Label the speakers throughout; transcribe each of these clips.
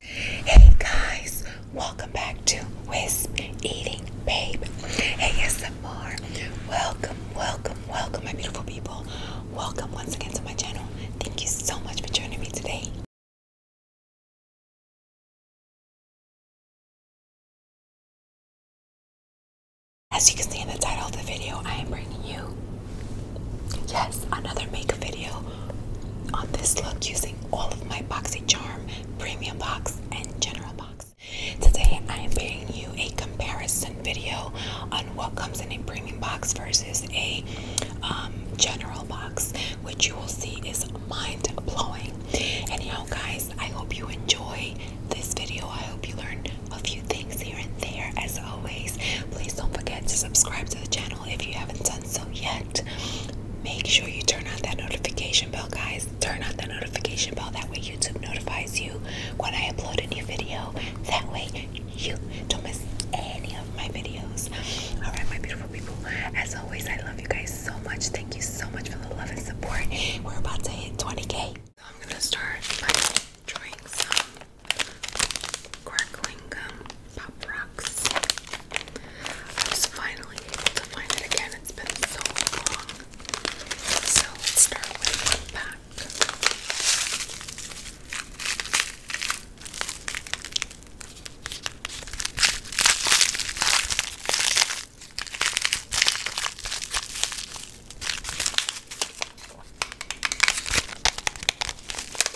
Speaker 1: Hey guys, welcome back to Wisp Eating Babe ASMR. Welcome, welcome, welcome, my beautiful people. Welcome once again to my channel. Thank you so much for joining me today. As you can see in the title of the video, I am bringing you, yes, another makeup video on this look using all of my boxy charm premium box and general box. Today I am bringing you a comparison video on what comes in a premium box versus a um, general box, which you will see is mind blowing. Anyhow, guys, I hope you enjoy this video. I hope you learn a few things here and there. As always, please don't forget to subscribe to the channel if you haven't done so yet. Make sure you turn on that notification bell, guys. Turn on that notification bell. That way, YouTube notifies you when I upload a new video. That way, you don't miss any of my videos. All right, my beautiful people. As always, I love you guys so much. Thank you so much for the love and support. We're about to hit 20k. So I'm gonna start by drawing some. Crackling gum Pop Rocks. I was finally able to find it again. It's been so long. So let's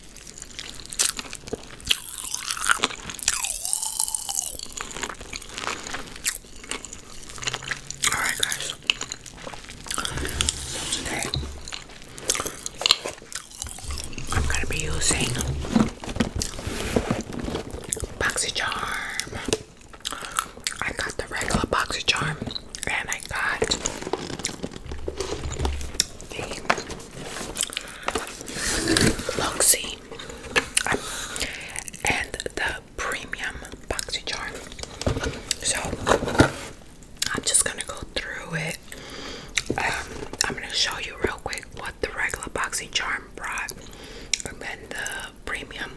Speaker 1: Alright, guys. today I'm gonna be using BoxyCharm. I got the regular BoxyCharm and I got the Loxy and the premium boxy charm. So I'm just gonna go through it. Um, I'm gonna show you real quick what the regular boxy charm brought, and then the premium.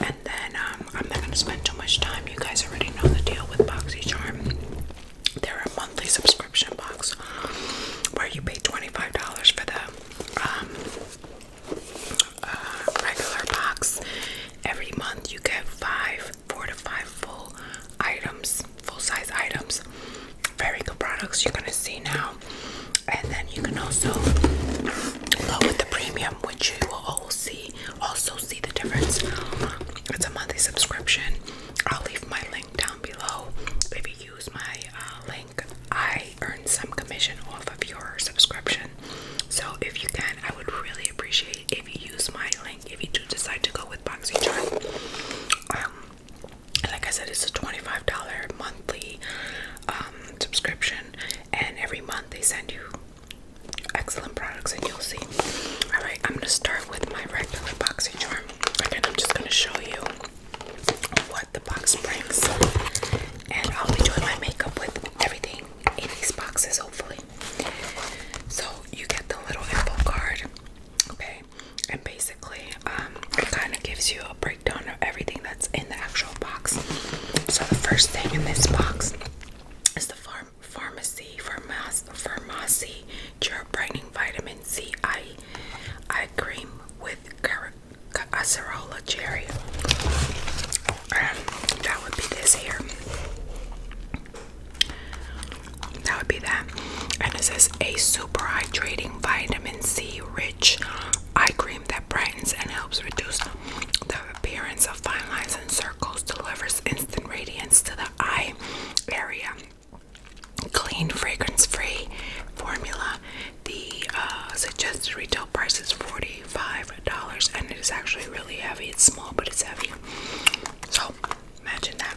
Speaker 1: And then um, I'm not gonna spend too much time. You guys already know the deal with BoxyCharm. They're a monthly subscription box where you pay $25 for the um, uh, regular box. Every month you get five, four to five full items, full size items. Very good products you're gonna see now. And then you can also go with the premium, which you will all see, also see the difference. It's a monthly subscription. I'll leave my link down below. If you use my uh, link, I earn some commission off of your subscription. So if you can, I would really appreciate if you use my link. If you do decide to go with BoxyCharm, um, like I said, it's a twenty-five dollar monthly um, subscription, and every month they send you excellent products, and you'll see. All right, I'm gonna start with my regular BoxyCharm. I'm just gonna show you what the box brings, and I'll be doing my makeup with everything in these boxes, hopefully. So you get the little info card, okay? And basically, um, it kind of gives you a breakdown of everything that's in the actual box. So the first thing in this box is the farm pharmacy, pharmacy, pharmacy your brightening vitamin C eye eye cream with acerola cherry. Um, that would be this here. That would be that. And this is a super hydrating vitamin C rich eye cream that brightens and helps reduce the appearance of fine lines and circles, delivers instant radiance to the eye area clean, fragrance free formula. The uh, suggested retail price is $45, and it is actually really heavy. It's small, but it's heavy. So, imagine that.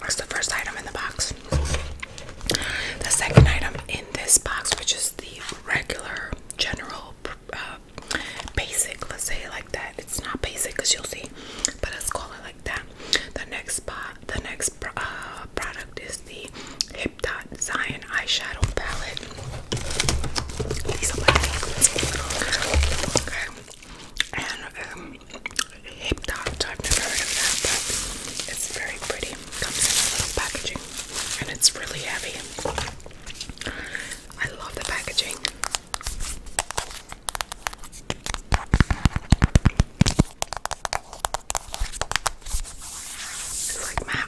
Speaker 1: That's the first item in the box. The second item in this box, which is the regular, general, uh, basic, let's say like that. It's not basic as you'll see, but let's call the next uh, product is the Hip Dot Zion eyeshadow palette. okay. And um, I've never heard of that, but it's very pretty. Comes in a little packaging, and it's really heavy. I love the packaging like my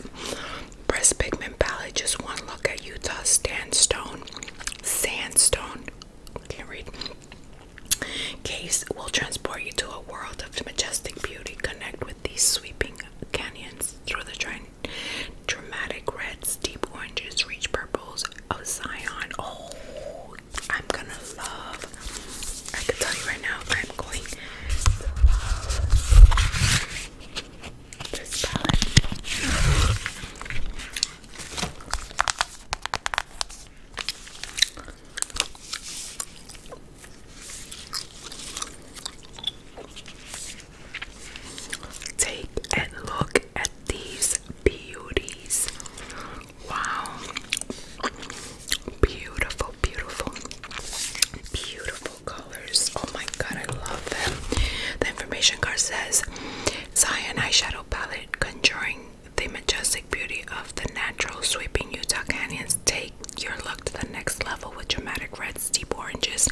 Speaker 1: breast pigment palette. Just one look at Utah's Sandstone. Sandstone. Can't read. Case will transport you to a world of majestic beauty. Connect with these sweeping canyons through the Dramatic reds, deep oranges, rich purples of Zion. Oh, I'm gonna love. I can tell you right now, I'm going to love this palette. Take a look at these beauties. Wow. Beautiful, beautiful, beautiful colors. Oh my god, I love them. The information card says Zion Eyeshadow Palette Conjuring the majestic beauty of the natural sweeping Utah canyons. Take your look to the next level with dramatic reds, deep oranges,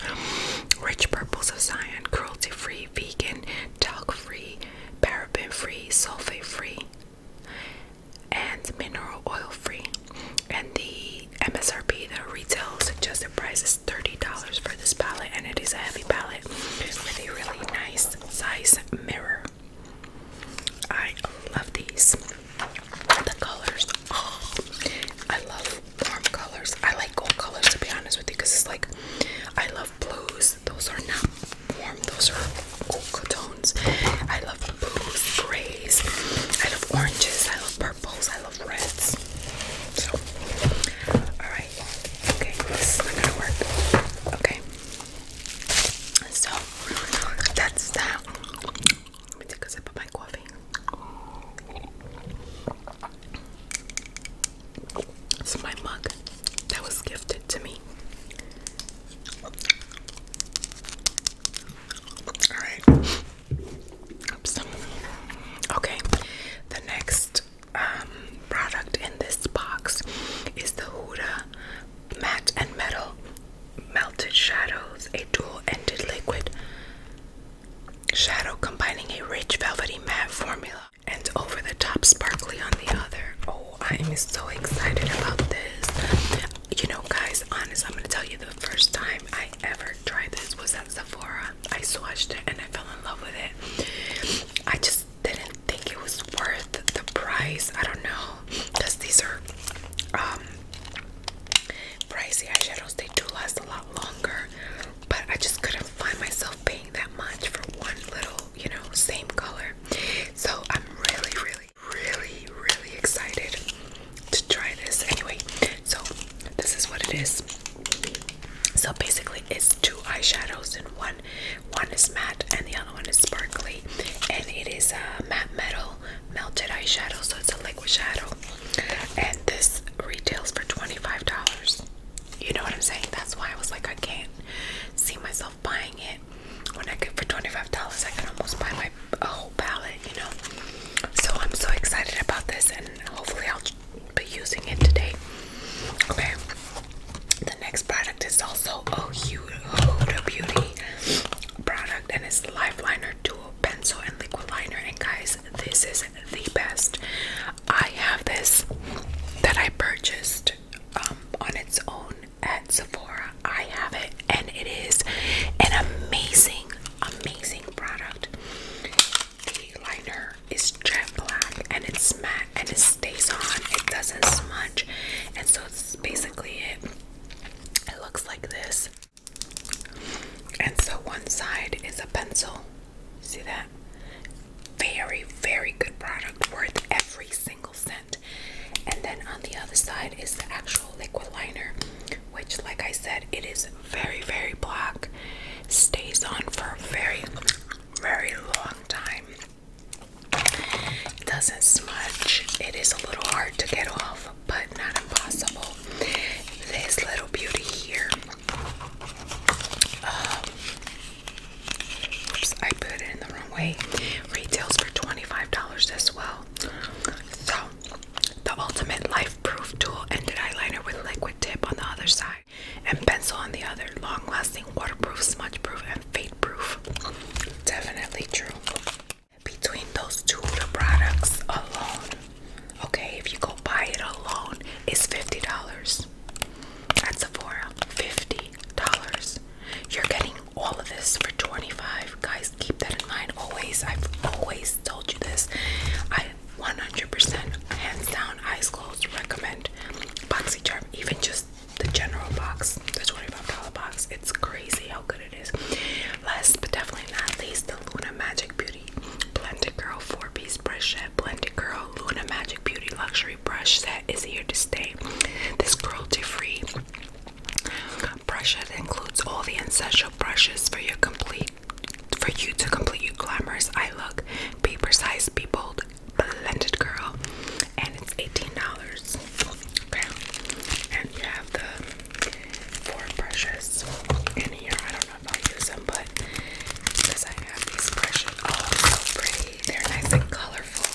Speaker 1: rich purples of Zion, cruelty free, vegan, talc free, paraben free, sulfate free and mineral oil free. And the MSRP, the retail suggested price is $30 for this palette, and it is a heavy palette with a really nice size mirror. I love these. The colors, oh, I love warm colors. I like gold colors to be honest with you because it's like I love blues those are not warm. Those are cool tones. I love blues, grays. I love oranges. I love purples. I love reds. So, all right. Okay, this is not gonna work. Okay. So that's that. Let me take a sip of my coffee. It's my mug that was gifted to me. Alright. Oops. Okay. The next um, product in this box is the Huda Matte and Metal Melted Shadows, a dual ended liquid shadow combining a rich velvety matte formula and over the top sparkly on the other. Oh, I am so excited about this. You know, guys, honest, I'm gonna tell you the first time I ever tried this was at Sephora. I swatched it and I fell in love with it. I just didn't think it was worth the price. I don't know, because these are um pricey eyeshadows, they do last a lot longer, but I just couldn't find myself paying that much for one little, you know, same color. So I'm really, really, really, really excited to try this. Anyway, so this is what it is. So basically, it's two eyeshadows and one. One is matte and the other one is sparkly, and it is a matte metal melted eyeshadow, so it's a liquid shadow. And this retails for $25. You know what I'm saying? That's why I was like, I can't see myself buying it when I get for $25, I can almost buy my a whole palette, you know. So I'm so excited about this, and hopefully I'll be using it today. Okay. The next product is also a Huda Beauty product, and it's Lifeliner Duo Pencil and Liquid Liner. And guys, this is the best. I have this that I purchased um, on its own at Sephora. I have it, and it is an amazing, amazing product. The liner is jet black, and it's matte, and it stays on. It doesn't smudge, and so it's basically it. It looks like this, and so one side is a pencil. See that? Very, very good product. Worth every single scent. And then on the other side is the actual liquid liner, which, like I said, it is very, very black, stays on for a very, very long time. It doesn't smudge, it is a little hard to get off, but not impossible. This little beauty here. Um, Oops, I put it in the wrong way. Retails for $25 as well. So, the ultimate life proof tool ended eyeliner with liquid tip on the other side and pencil on the other. Long lasting, waterproof, smudge proof, and fade proof. Definitely true. Between those two products alone, okay, if you go buy it alone, it's $50. At Sephora, $50. You're getting all of this for 25 Guys, keep that in mind always. I've always told you this. I 100% hands down, eyes closed, recommend BoxyCharm, even just the general box, the $25 box. It's crazy how good it is. Last but definitely not least, the Luna Magic Beauty Blended Girl 4 Piece Brush Blended Girl Luna Magic Beauty Luxury. Brush set is here to stay. This cruelty-free brush set includes all the essential brushes for your complete for you to complete your glamorous eye look. Paper size, be bold, blended girl, and it's $18. and you have the four brushes in here. I don't know if I'll use them, but because I have these brushes, oh, so pretty they're nice and colorful.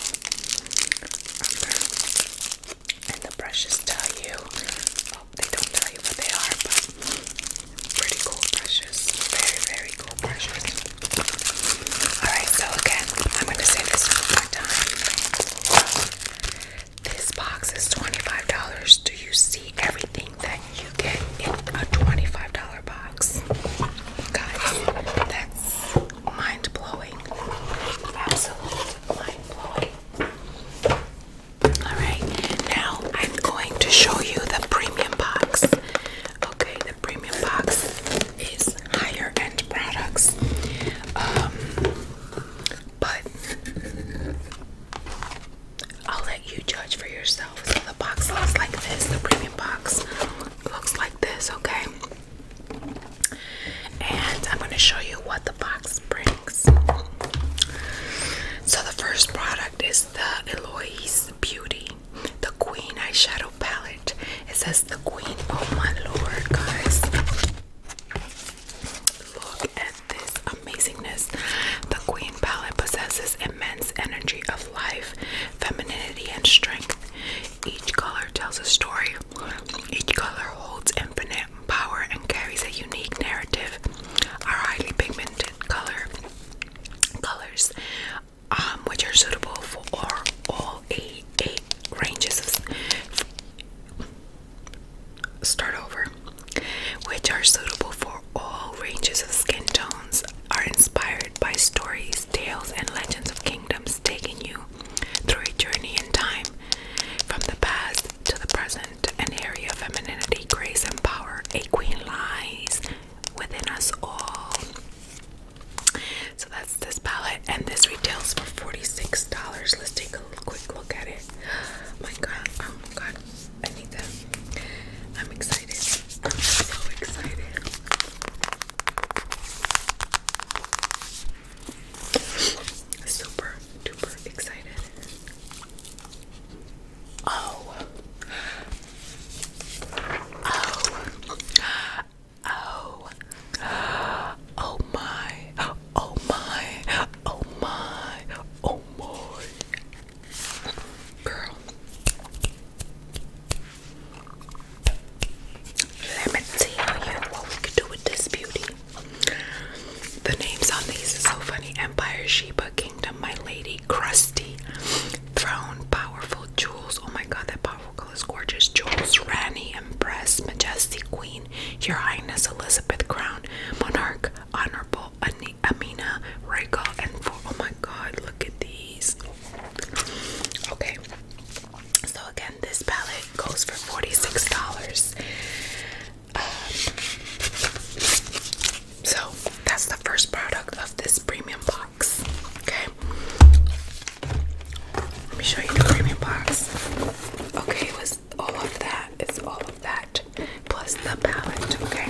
Speaker 1: And the brushes tell you, oh, they don't tell you what they are, but pretty cool brushes. Very, very cool brushes. Alright, so again, I'm going to say this one more time. This box is $25. Do you see everything that you get in a $25 box? Guys, that's mind blowing. Absolutely mind blowing. Alright, now I'm going to show you the premium box. Okay, the premium box is higher end products. Um, but I'll let you judge for yourself. So the box looks like this, the premium box looks like this, okay? And I'm going to show you what the box brings. So, the first product is the Eloise Beauty, the Queen Eyeshadow Palette. It says the Queen, oh my lord, guys. Look at this amazingness. The Queen palette possesses immense energy of life, femininity, and strength. Each color tells a story. Each color holds infinite power and carries a unique narrative. Our highly pigmented color colors, um, which are suitable for all, all eight, ranges of start over, which are suitable for all ranges of skin tones, are inspired by stories tales, and legends of kingdoms, taking you through a journey in time from the past to the present, an area of femininity, grace, and power. A queen lies within us all. So that's this palette, and this retails for $46. Let's take a quick look at it. Oh my god, oh my god, I need that. I'm excited. I'm so excited. Super duper excited. Oh. Oh. Oh. Oh my. Oh my. Oh my. Oh my. Girl. Let me tell you what we can do with this beauty. The names on these are so funny Empire, Sheba, Kingdom, My Lady, Krusty, Throne, Powerful, Jewels. Oh my god, that powerful color is gorgeous. Jewels, Rani, Empress, Majesty, Queen, Your Highness, Elizabeth, Crown, Monarch, Honorable, Amina, Regal, and for, Oh my god, look at these. Okay, so again, this palette goes for forty-six dollars. so that's the first product of this premium box. Okay, let me show you the premium box. Okay, it was all of that. It's all of that plus the palette. Okay.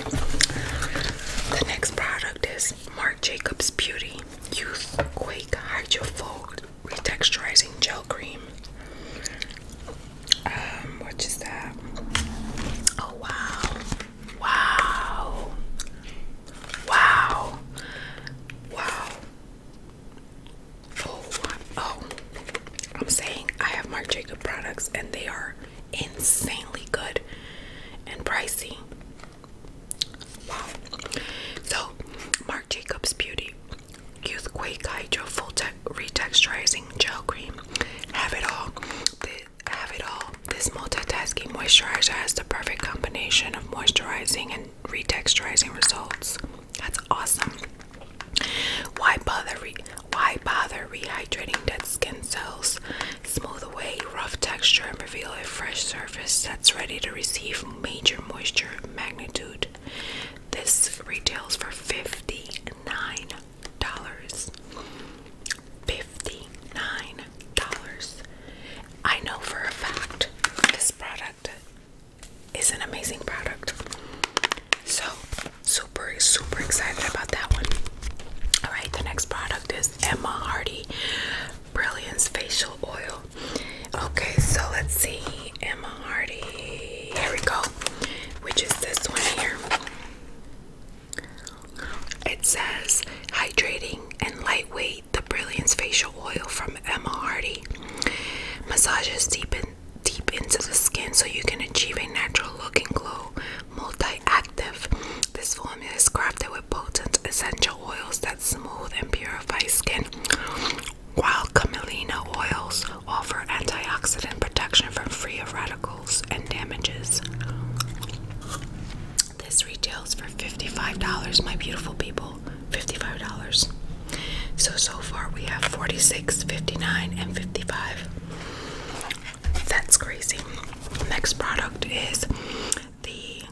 Speaker 1: The next product is Marc Jacobs Beauty Youth Quake Hydrofold retexturizing gel cream. Um, what is that? Oh wow. Wow. Wow. Oh, wow. Oh, I'm saying I have Marc Jacob products and they are insanely good and pricey. Wow. So Jacobs Beauty Youthquake Hydro Full Retexturizing Gel Cream. Have it all. have it all. This multitasking moisturizer has the perfect combination of moisturizing and retexturizing results. That's awesome. Why bother? why bother rehydrating dead skin cells? Smooth away rough texture and reveal a fresh surface that's ready to receive major moisture magnitude. This retails for $59. $59. I know for a fact this product is an amazing product. So, super, super excited about that one. Alright, the next product is Emma Hardy Brilliance Facial Oil. Okay, so let's see. Emma Hardy. Here we go. Which is this one here. It says hydrating and lightweight the Brilliance Facial Oil from Emma Hardy. Massages deep in, deep into the skin so you can achieve a natural looking glow. Multi-active. This formula is crafted with potent essential oils that smooth and purify skin, while camelina oils offer antioxidant protection from free radicals and damages. This retails for $55, my beautiful people. $55. So, so far we have 46 59 and 55 That's crazy. Next product is the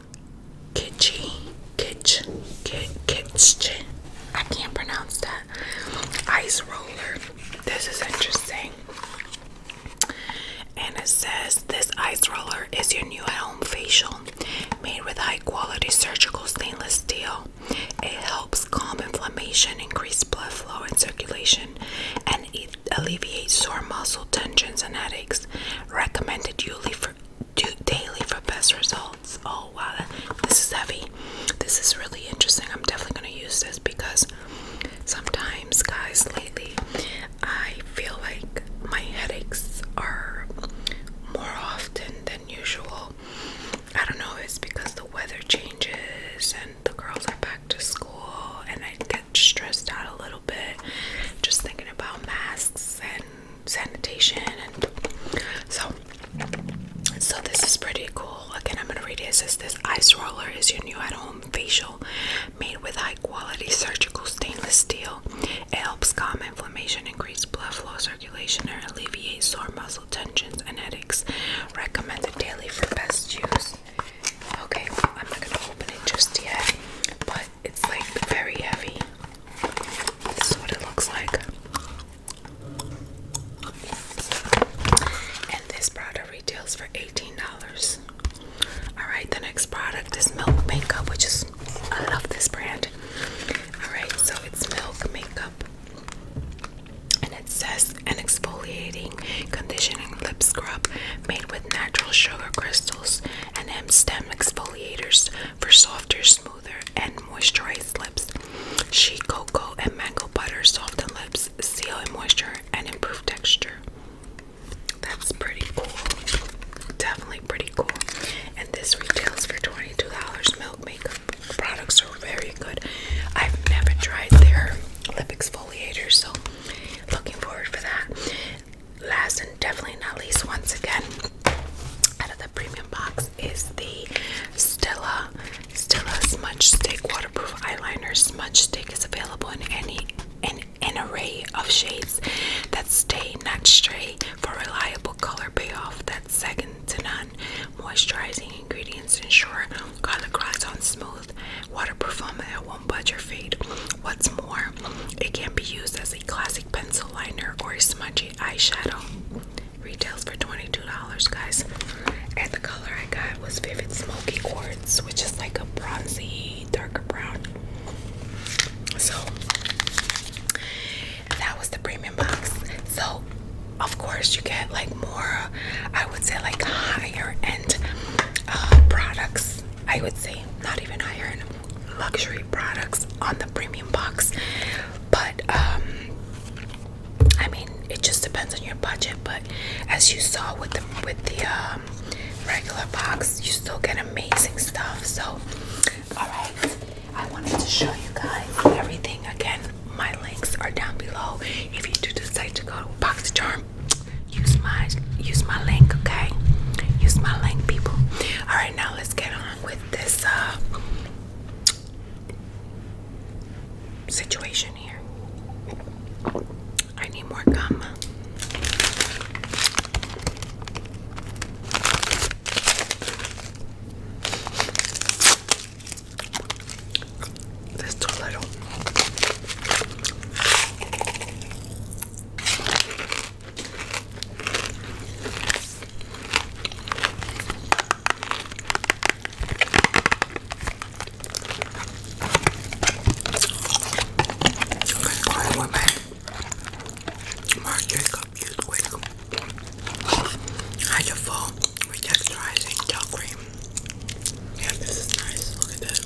Speaker 1: kitschy kitsch kit kitchen I can't pronounce that ice roller. This is interesting. And it says this ice roller is your new home facial made with high quality surgical stainless steel. It helps calm inflammation, increase blood flow and circulation, and it alleviates sore muscle tensions and headaches. Recommended yearly for do daily for best results. Oh wow, this is heavy. This is really interesting. I'm definitely gonna use this because sometimes, guys, lately I feel like my headaches are more often than usual. I don't know, it's because the weather changes and the girls are back to school, and I get stressed out a little bit just thinking about masks and sanitation and so so this is pretty cool. Again, I'm gonna read it. It this ice roller is your new at-home facial made with high-quality surgical stainless steel. It helps calm inflammation, increase blood flow circulation, and alleviate sore muscle tensions and headaches. Recommended daily for best use. Okay, I'm not gonna open it just yet, but it's like very heavy. This is what it looks like. And this product retails for $18. Alright, the next product is Milk Makeup, which is, I love this brand. Alright, so it's Milk Makeup. And it says an exfoliating, conditioning lip scrub made with natural sugar crystals and M stem exfoliators for softer, smoother, and moisturized lips. Shea cocoa and mango butter soften lips, seal in moisture, and improve texture. That's pretty cool. Definitely pretty cool. And this retails for $22. Milk makeup products are very good. I've never tried their lip exfoliator, so looking forward for that. Last and definitely not least, once again, the premium box is the Stella Stella Smudge Stick Waterproof Eyeliner. Smudge Stick is available in any in an array of shades that stay not stray for reliable color payoff that's second to none. Moisturizing ingredients ensure color grabs on smooth, waterproof formula that won't budge or fade. What's more, it can be used as a classic pencil liner or a smudgy eyeshadow retails for $22 guys and the color I got was Vivid Smoky Quartz which is like a bronzy darker brown so that was the premium box so of course you get like more I would say like higher end uh, products I would say not even higher end luxury products on the premium box but um, I mean it just depends on your budget but as you saw with the with the um, regular box you still get amazing stuff so all right I wanted to show you guys everything again my links are down below if you do decide to go to BoxyCharm use my use my link okay use my link people all right now let's get on with this uh, situation here. I need more gum. There's too little. Going with my Marc Jacobs Youth Wake Hydro Fall with texturizing gel cream. Yeah, this is nice. Look at this.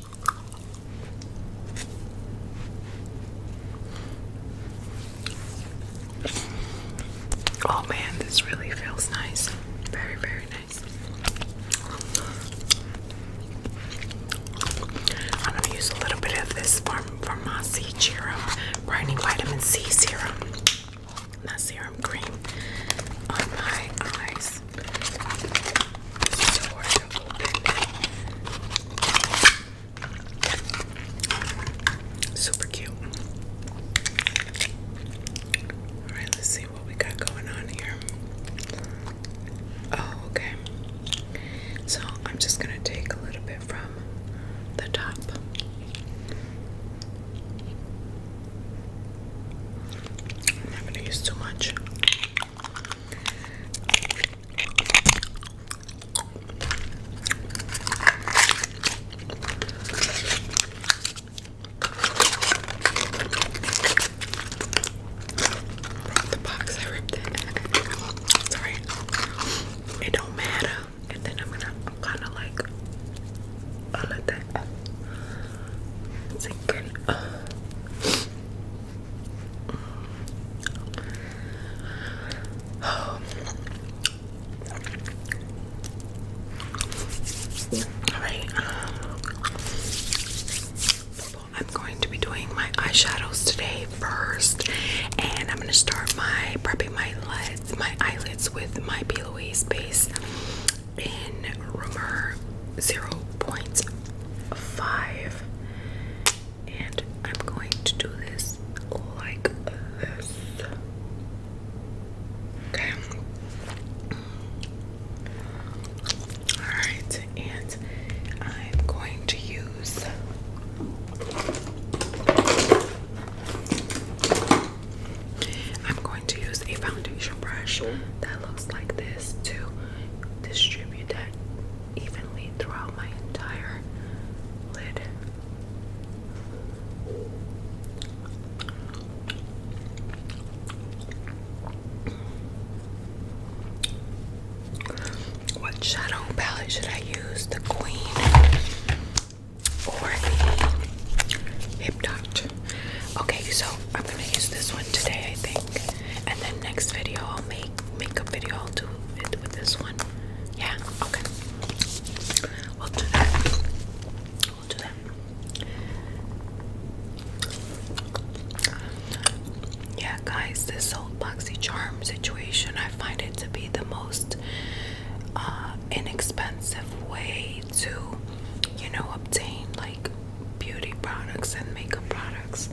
Speaker 1: Oh man, this really feels nice. Very, very nice. I'm gonna use a little bit of this Farm Farmasi Serum Brightening Vitamin C Serum, not serum cream, on my eyes. Super cute. Alright, let's see what we got going on here. Oh, okay. So I'm just going to take a little bit from the top. I'm not going to use too much the box, I ripped it. It's It don't matter. And then I'm gonna kinda like I'll that sink in. Uh, Alright. I'm going to be doing my eyeshadows today first, and I'm going to start my prepping my lids, my eyelids with my P. Louise base in Rumor 0.5 and I'm going to do this like this. Okay. Alright, and I'm going to use I'm going to use a foundation brush that looks like this to distribute that evenly throughout my entire lid. What shadow palette should I use? The Queen or the Hip Dot? Okay, so I'm gonna use this one today, I think and then next video I'll make makeup video. I'll do it with this one. Yeah. Okay. We'll do that. We'll do that. Yeah, guys, this old boxy charm situation, I find it to be the most uh, inexpensive way to, you know, obtain like beauty products and makeup products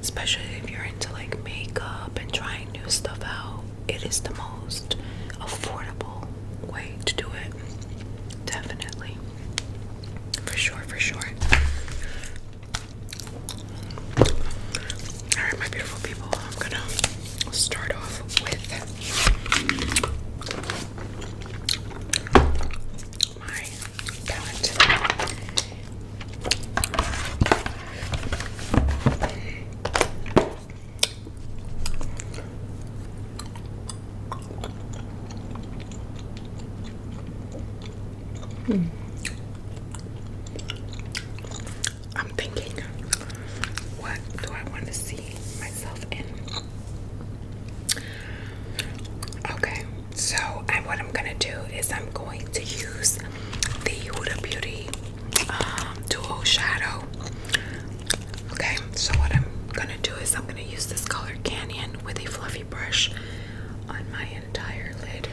Speaker 1: especially if you're into like makeup and trying new stuff out. It is the most affordable way to do it. Definitely. For sure, for sure. Alright, my beautiful people, I'm gonna start off with my I'm thinking, what do I want to see myself in? Okay, so, and what I'm gonna do is I'm going to use the Huda Beauty um, Duo Shadow. Okay, so what I'm gonna do is I'm gonna use this color Canyon with a fluffy brush on my entire lid.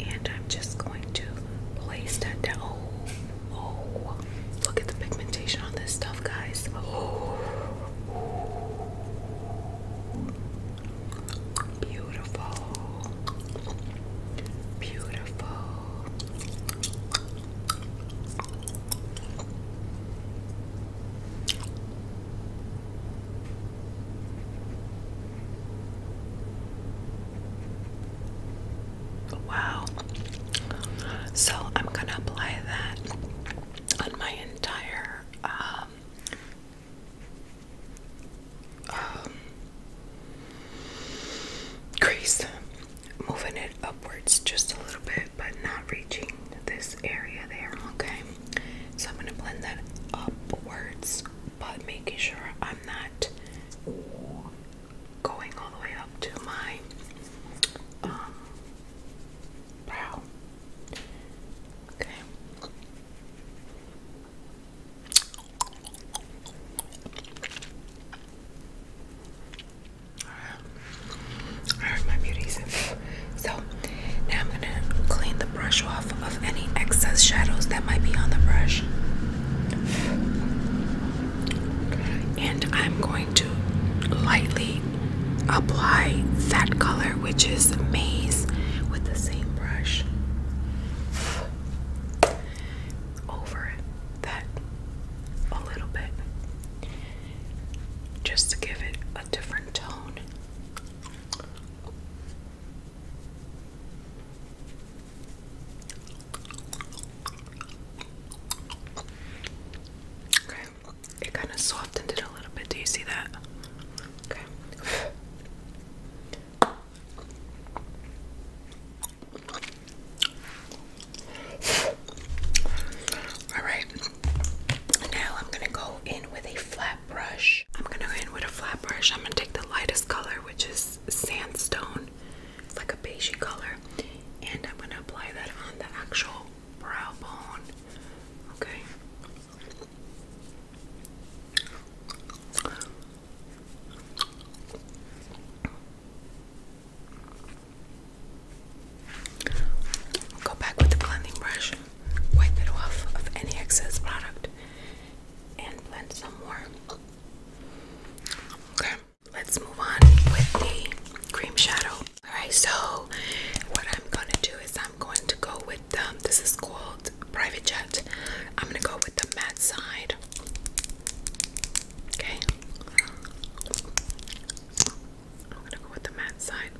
Speaker 1: And I'm just going to place that down. Oh, oh, look at the pigmentation on this stuff, guys. Oh. Beautiful. Beautiful. Wow. So I'm going to apply that on my entire um, um, crease, moving it upwards just a little bit, but not reaching this area there. Okay, so I'm gonna blend that upwards, but making sure I'm not going all the way up to my um, brow. Okay. I heard my beauties. So now I'm gonna clean the brush off of any excess shadows that might be on the brush. And I'm going to lightly apply that color which is a Maze, with the same brush over that a little bit just to give it a different tone. Okay, it kind of softened it a little bit. Do you see that? Alright, now I'm gonna go in with a flat brush. I'm gonna go in with a flat brush. I'm gonna take the lightest color, which is sandstone. It's like a beigey color. And I'm gonna apply that on the actual brow bone. Okay. Go back with the blending brush, wipe it off of any excess product, and blend some more. Okay, let's move on with the cream shadow. Alright, so what I'm gonna do is I'm I'm going to go with them. Um, this is called Private Jet. I'm gonna go with the matte side. Okay. I'm gonna go with the matte side.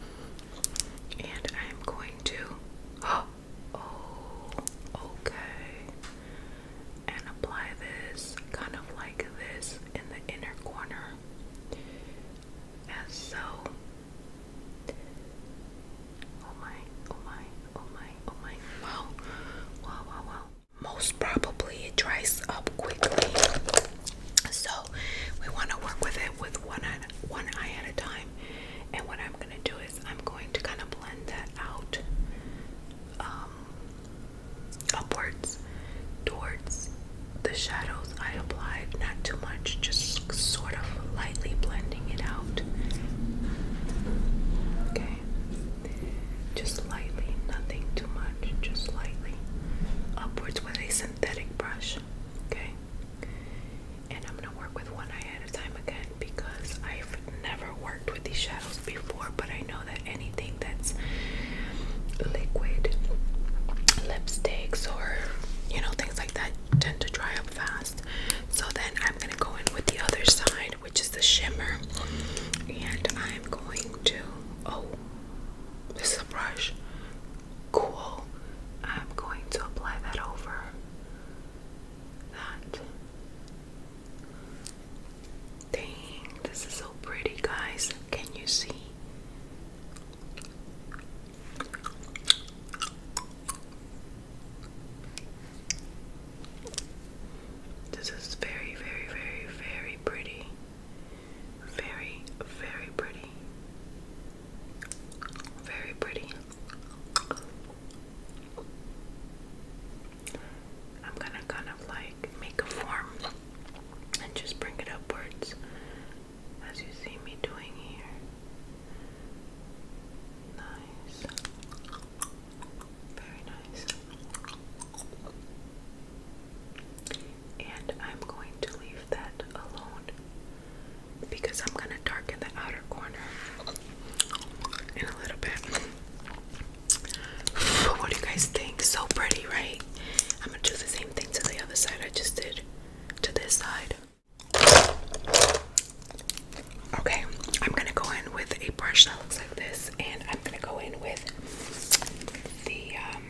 Speaker 1: And I'm going to oh okay. And apply this kind of like this in the inner corner. As so Oh my, oh my, oh my, oh my. Wow. Wow, wow, wow. Most probably it dries up quickly. So we want to work with it with one eye, at a time. And what I'm going to do is I'm going to kind of blend that out um, upwards towards the shadows I applied. Not too much, just just sort of lightly blending it out. Okay. Just lightly, nothing too much, just lightly. Upwards with a synthetic brush. Okay. And I'm gonna work with one eye at a time again because I've never worked with these shadows before, but I know that anything that's liquid lipsticks or you know things like that tend to dry up fast. So then I'm gonna go in with the other side, which is the shimmer, and I'm going to oh, this brush. Cool. I'm going to apply that over that. Dang, this is so pretty, guys. Can you see? This is very, very, very, very pretty. Very, very pretty. Very pretty. I'm gonna kind of like make a form and just bring it upwards as you see me doing here. Nice. Very nice. And I'm going to leave that alone because I'm going to darken the outer corner in a little bit. What do you guys think? So pretty, right? I'm going to do the same thing to the other side I just did to this side. Okay, I'm gonna go in with a brush that looks like this, and I'm gonna go in with the um,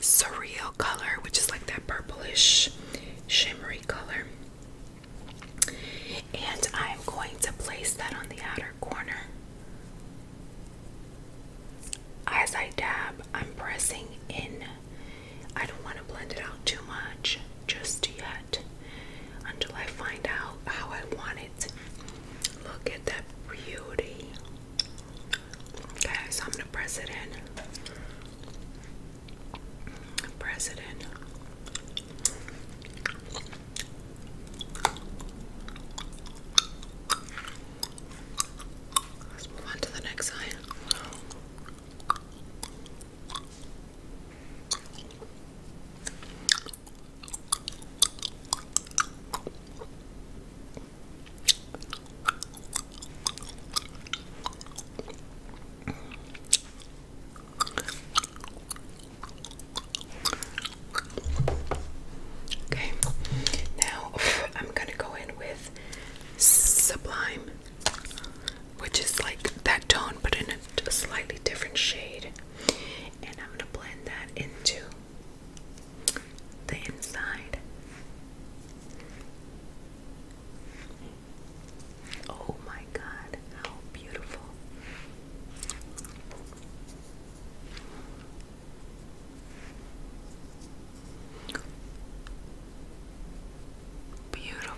Speaker 1: surreal color, which is like that purplish, shimmery color. And I'm going to place that on the outer corner. As I dab, I'm pressing in I don't want to blend it out too much just yet until I find out how I want it. Look at that beauty. Okay, so I'm going to press it in. Press it in. Let's move on to the next eye. Okay, now I'm gonna go in with Sublime which is like that tone but in a slightly different shade. And I'm going to blend that into the inside. Oh my god, how beautiful! Beautiful.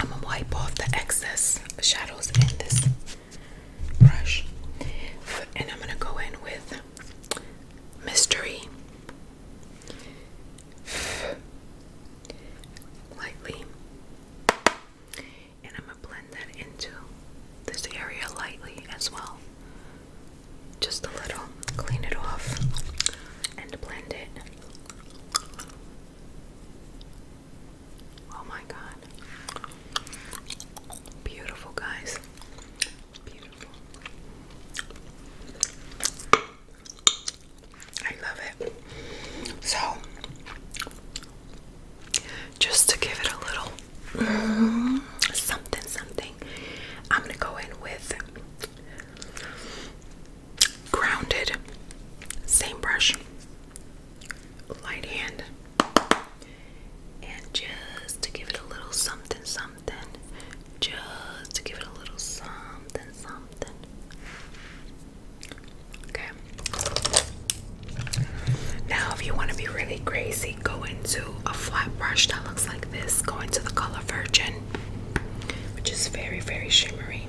Speaker 1: I'm gonna wipe off the excess shadows in this brush, and I'm gonna go in with mystery lightly. And I'm going to blend that into this area lightly as well. Just a little. Clean it off and blend it. Oh my god. Beautiful, guys. Beautiful. I love it. So, just to give it a little something, something. I'm gonna go in with grounded, same brush, light hand, and just to give it a little something, something, just to give it a little something, something. Okay. Now, if you want to be really crazy, go into a flat brush that looks like this. Go into the color Virgin, which is very, very shimmery,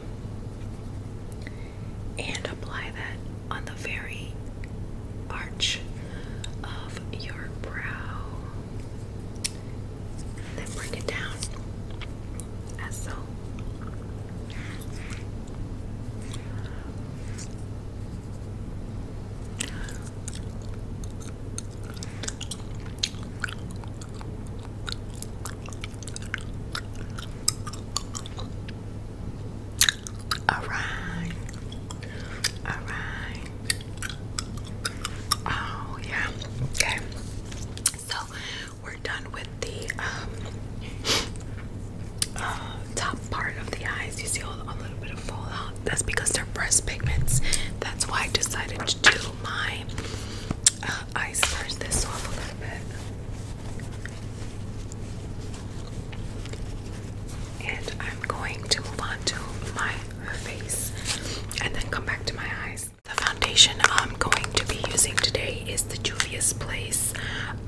Speaker 1: and apply that on the very arch of your brow. Then bring it down as so. All right. All right. Oh, yeah. Okay. So, we're done the um, uh, top part of the eyes. You see a, a little bit of fallout. That's because they're breast pigments. That's why I decided to do my uh, eyes first. This off a little bit, and I'm going to move on to my face, and then come back to my eyes. The foundation I'm going to be using today is the Julius Place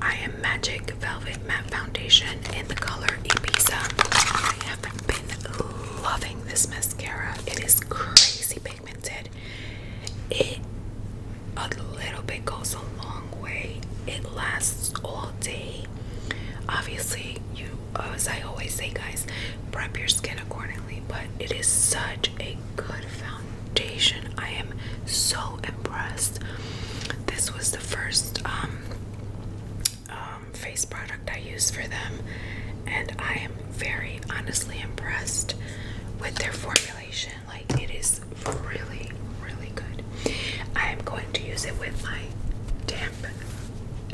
Speaker 1: I Am Magic Velvet Matte Foundation in the color Ibiza. I have been loving this mascara. It is crazy pigmented. It a little bit goes a long way. It lasts all day. Obviously, you as I always say, guys, prep your skin accordingly. But it is such a good foundation foundation. I am so impressed. This was the first um, um, face product I used for them, and I am very honestly impressed with their formulation. Like, it is really, really good. I am going to use it with my damp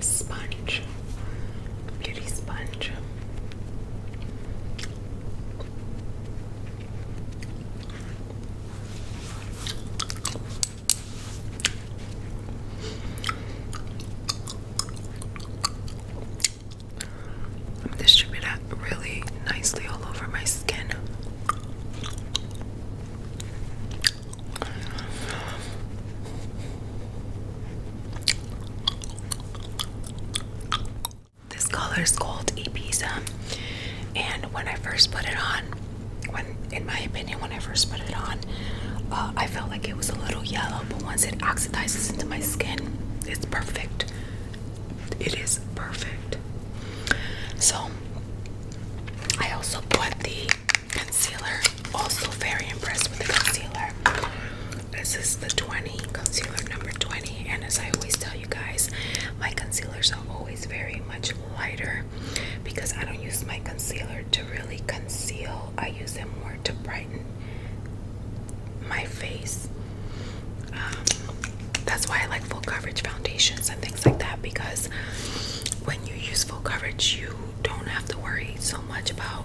Speaker 1: sponge, beauty sponge. I'm Distribute that really nicely all over my skin. This color is called Ibiza, and when I first put it on, when in my opinion, when I first put it on, uh, I felt like it was a little yellow, but once it oxidizes into my skin, it's perfect. It is perfect. So I also bought the concealer. Also very impressed with the concealer. This is the 20 concealer number 20, and as I always tell you you guys my concealers are always very much lighter because I don't use my concealer to really conceal. I use them more to brighten my face. Um, that's why I like full coverage foundations and things like that because when you use full coverage, you don't have to worry so much about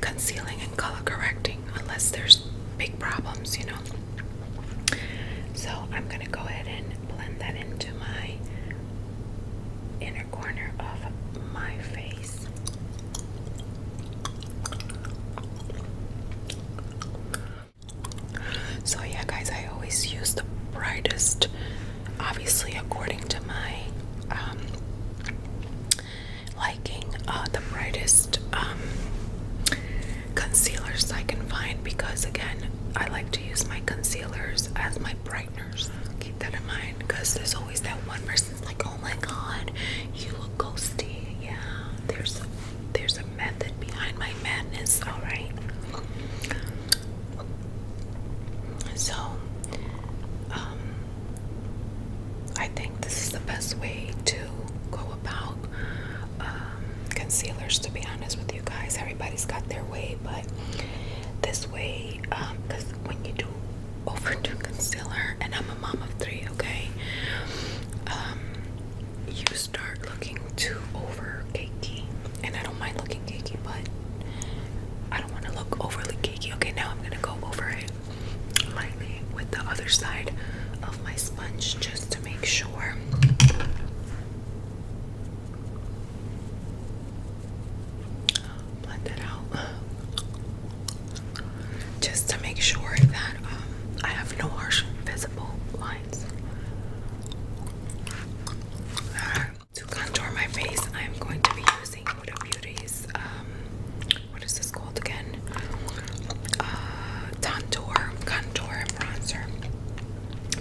Speaker 1: concealing and color correcting unless there's big problems, you know. So I'm going to go ahead and blend that into my inner corner of my face. So yeah guys, I always use the brightest, obviously according to my um, liking, uh, the brightest um, concealers I can find because, again, I like to use my concealers as my brighteners. Keep that in mind because there's always that one person's like, oh my god, you look ghosty. Yeah, there's a, there's a method behind my madness, alright? So, um, I think this is the best way to go about um, concealers to be honest with you guys everybody's got their way but this way because um, when you do overdo concealer and I'm a mom of three okay um, you start looking too over cakey and I don't mind looking cakey but I don't want to look overly cakey okay now I'm gonna go over it lightly with the other side of my sponge just to make sure blend it out just to make sure that um, I have no harsh visible lines. to contour my face, I'm going to be using Huda Beauty's um, what is this called again? Uh, Contour Bronzer.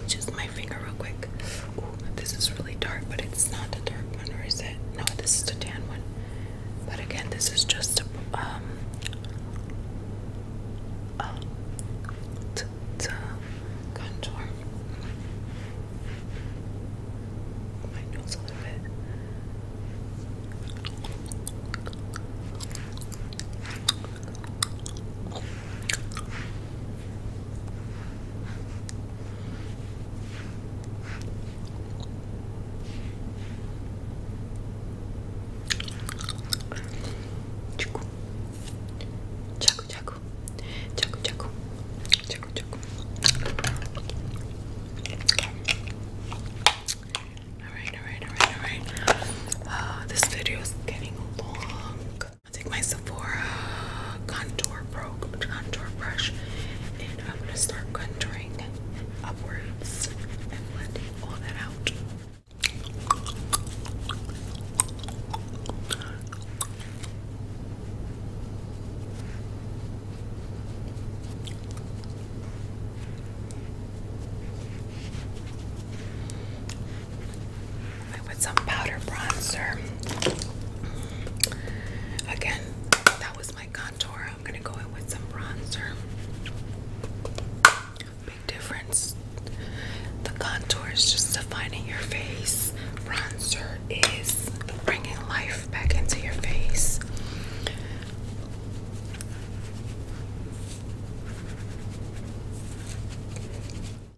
Speaker 1: Just my finger real quick. this is really dark, but it's not the dark one, or is it? No, this is the tan one. But again, this is just a, um, a t -t contour. My nose a little bit. Chaku, chaku, chaku, chaku, chaku, chaku, chaku. All right, all right, alright, alright. Uh, this video is getting long. I'll take my Sephora contour pro contour brush and I'm gonna start contouring upwards and blending all that out. I put some powder bronzer. Again, that was my contour. I'm gonna go in with some bronzer. Big difference. The contour is just defining your face. Bronzer is bringing life back into your face.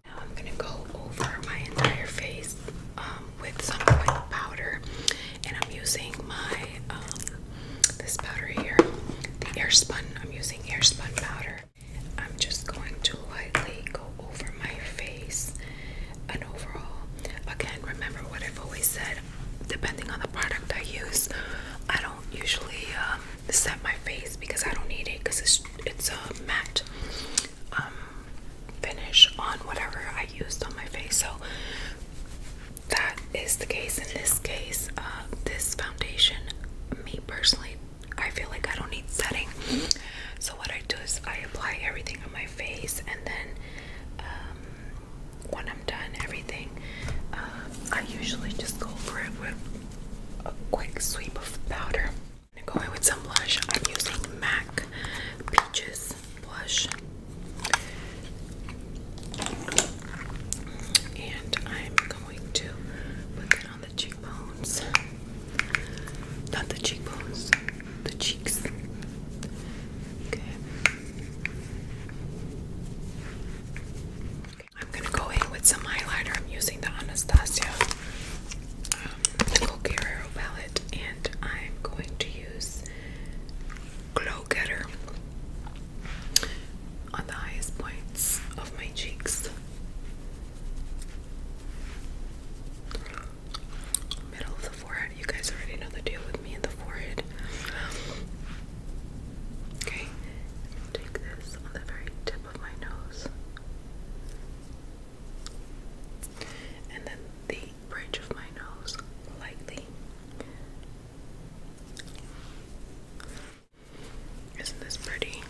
Speaker 1: Now I'm gonna go over my entire face um, with some white powder, and I'm using my um, this powder here, the air I'm using air powder. I'm just going to lightly go over my face and overall. Again, remember what I've always said. Depending on the product I use, I don't usually um, set my face because I don't need it because it's it's a matte um, finish on whatever I used on my face. So that is the case. In this case, uh, this foundation, me personally, I feel like I don't need setting. So what I do is I apply everything on my face and then um, when I'm done everything, uh, I usually just go over it with a quick sweep of powder. i going go in with some blush. I'm using MAC Peaches blush. And I'm going to put it on the cheekbones. Not the cheekbones, the cheeks. Okay. I'm gonna go in with some eyeliner. I'm using the Anastasia um, palette, and I'm going to use Glow Getter on the highest points of my cheeks, middle of the forehead. You guys already know the deal with me in the forehead. Okay, take this on the very tip my nose. And then the bridge of my nose lightly. Isn't this pretty?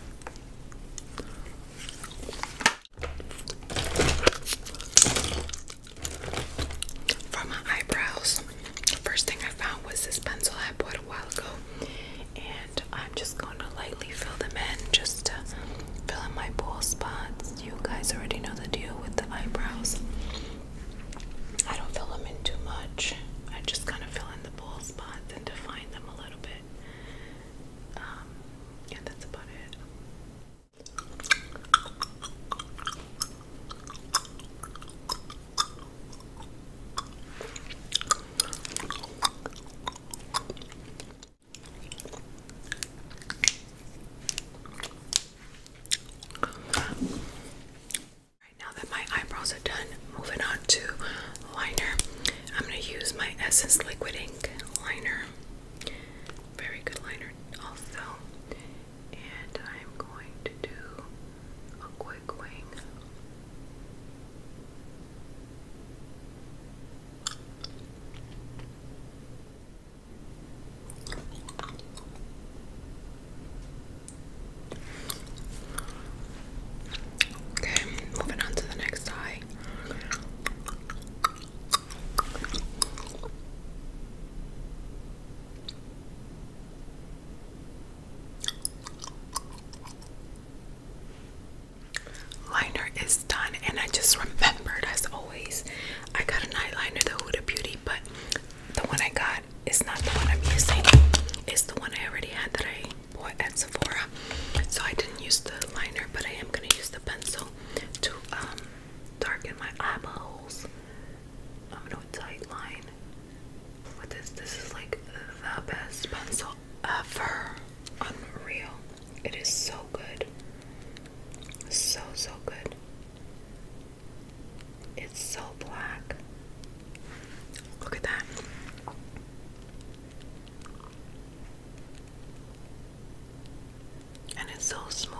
Speaker 1: For my eyebrows, the first thing I found was this pencil I bought a while ago and I'm just going to lightly fill them in just to fill in my bald spots. You guys already know the deal with the eyebrows. I don't fill them in too much. I just kind of fill in the bald spots and define them a little bit. Um, yeah, that's about it now that my eyebrows are done, moving on to liner. I'm going to use my Essence Liquid Ink liner. Very good liner, also. And I'm going to do a quick wing Okay, moving on to the next eye liner is done and I just remembered as always I got an eyeliner the Huda Beauty but the one I got is not the one I'm using it's the one I already had that I bought at Sephora so I didn't use the liner but I am gonna use the pencil to um darken my eyeballs I'm gonna do a tight line with this this is like the best pencil ever. Unreal. It is so good. So, so good. It's so black. Look at that. And it's so smooth.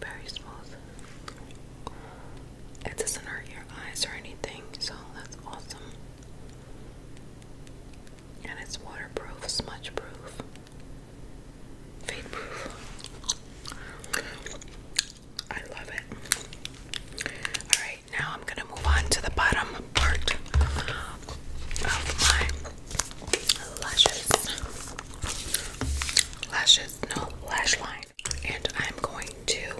Speaker 1: Very smooth. It doesn't hurt your eyes or anything, so that's awesome. And it's waterproof, smudge proof, fade proof. I love it. Alright, now I'm going to move on to the bottom part of my lashes. Lashes, no, lash line. And I'm going to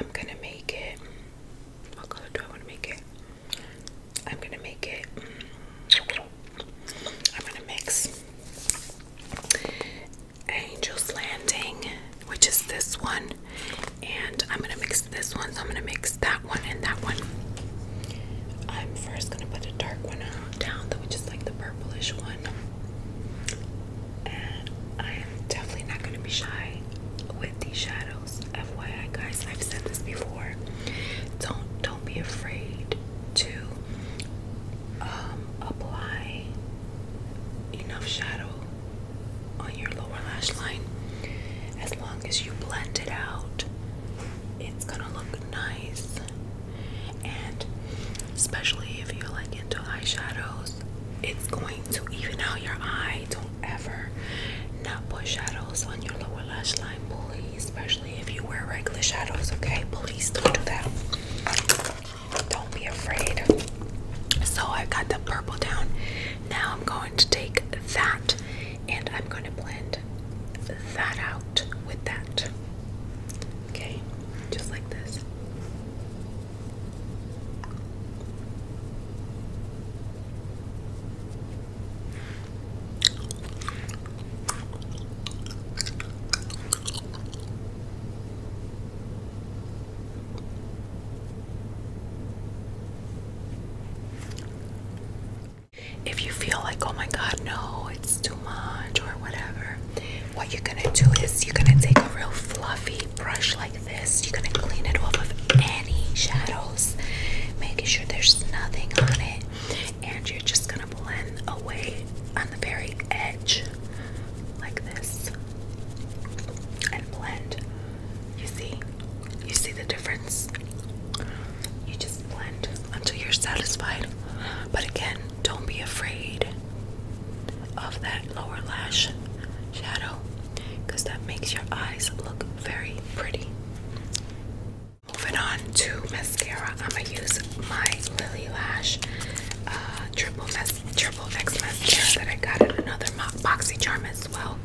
Speaker 1: I'm gonna make it. What color do I want to make it? I'm gonna make it. Mm, I'm gonna mix Angel's Landing, which is this one, and I'm gonna mix this one. So I'm gonna mix that one and that one. I'm first gonna put a dark one down, though, which is like the purplish one. I am definitely not going to be shy with these shadows. FYI, guys, I've said this before. Don't don't be afraid to um, apply enough shadow on your lower lash line. As long as you blend it out, it's gonna look nice. And especially if you're like into eyeshadows it's going to even out your eye don't ever not put shadows on your lower lash line please especially if you wear regular shadows okay please don't do that don't be afraid so i have got the purple down now i'm going to take that and i'm going to blend that out with that okay just like this if you feel like, oh my God, no, it's too much or whatever, what you're gonna do is you're gonna take a real fluffy brush like this, you're gonna clean it off of any shadows, making sure there's nothing on it, and you're just gonna blend away on the very edge like this and blend. You see? You see the difference? You just blend until you're satisfied. But again, don't be afraid of that lower lash shadow because that makes your eyes look very pretty. Moving on to mascara, I'm gonna use my Lily Lash uh, triple, X mascara that I got in another boxy charm as well.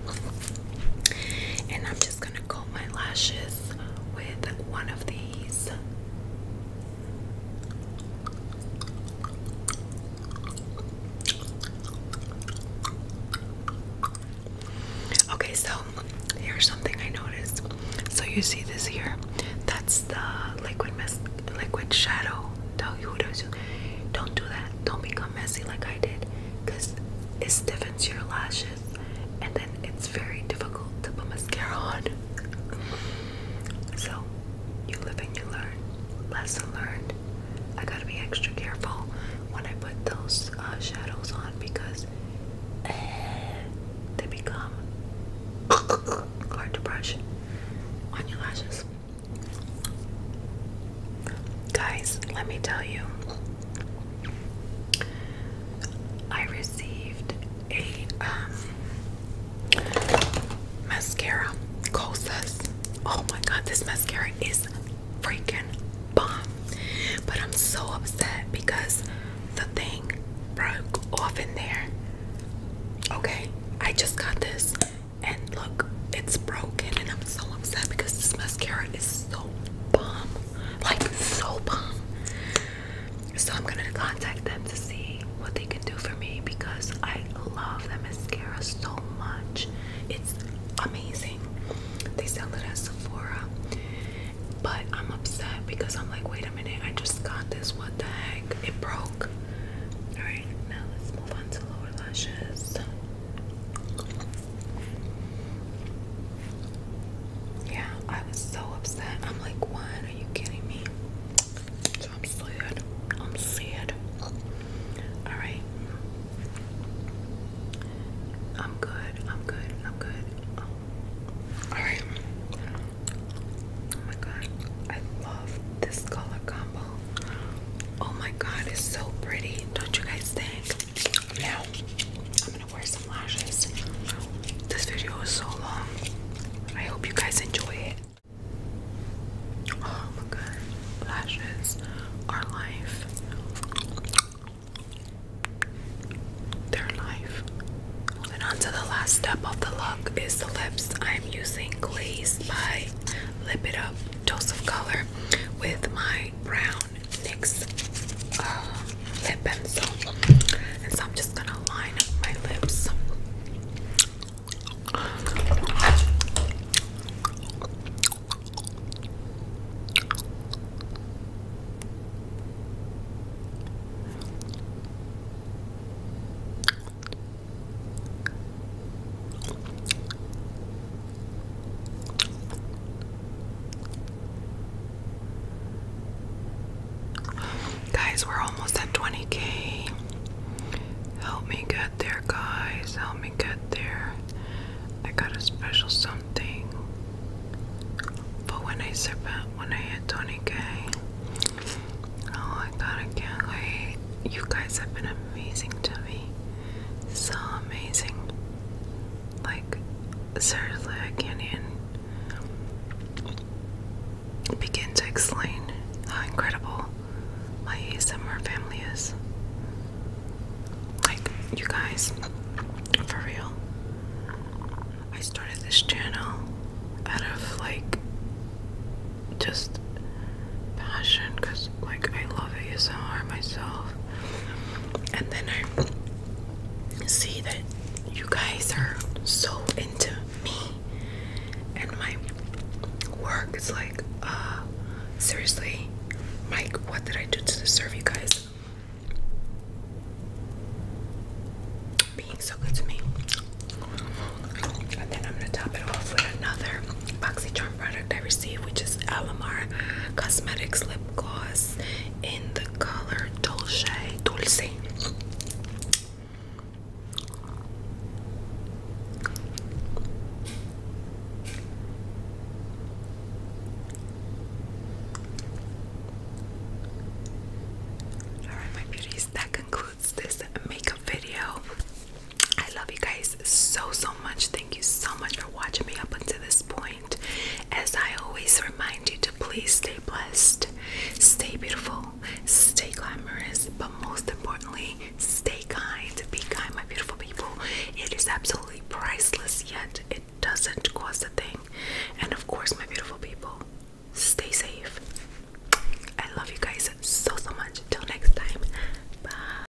Speaker 1: And I'm just gonna comb my lashes with one of these Okay, so here's something I noticed. So you see this here? That's the liquid mess, liquid shadow. Don't do that. Don't become messy like I did, cause it stiffens your lashes, and then it's very difficult to put mascara on. So you live and you learn lesson learned. I gotta be extra careful when I put those uh, shadows on because eh, they become hard to brush on your lashes. Guys, let me tell you, I received a um, Mascara, Kosas. Oh my god, this mascara is freaking bomb. But I'm so upset because the thing broke off in there. Okay, I just got this and look, it's broken and I'm so upset because this mascara is so bomb. Like so bomb. So I'm gonna contact them to see what they can do for me because I love the mascara so much. It's amazing. They sell it at Sephora. But I'm upset because I'm like, wait a minute, I just got this. What the heck? It broke. Alright, now let's move on to lower lashes. Yeah, I was so upset. I'm like, what? Are you kidding me? I'm sad. I'm sad. Alright. I'm good. I'm good. I'm good. Oh. Alright. Oh my god. I love this color combo. Oh my god, it's so pretty. Don't you guys think? Now I'm gonna wear some lashes. This video is so long. I hope you guys enjoy it. Oh my god, lashes are life. They're life. Moving on to the last step of the look is the lips. I'm using Glaze by Lip It Up Dose of Color with my brown NYX uh, lip pencil. And so I'm just gonna line up my lips. Guys, we're almost at 20k. Help me get there, guys. Help me get there. I got a special something. But when I zip out, when I hit 20k, oh I got I can't wait. You guys have been amazing to me. So amazing. Like, seriously, I can't even begin to explain how incredible my ASMR family is. Like, you guys, for real, I started this channel out of like just passion because, like, I love ASMR myself, and then I see that you guys are so into me and my work. It's like, uh, seriously, Mike, what did I do to deserve you guys being so good to me? And then I'm gonna top it off with another BoxyCharm product I received, which is Alamar Cosmetics Lip Gloss in the color Dolce Dulce. Alright, my beauties, that concludes this makeup video. I love you guys so, so much. Thank you so much for watching me up until this point. As I always remind you to please stay blessed, stay beautiful, stay glamorous, but most importantly, Stay kind, be kind, my beautiful people. It is absolutely priceless, yet it doesn't cost a thing. And of course, my beautiful people, stay safe. I love you guys so, so much. Until next time, bye.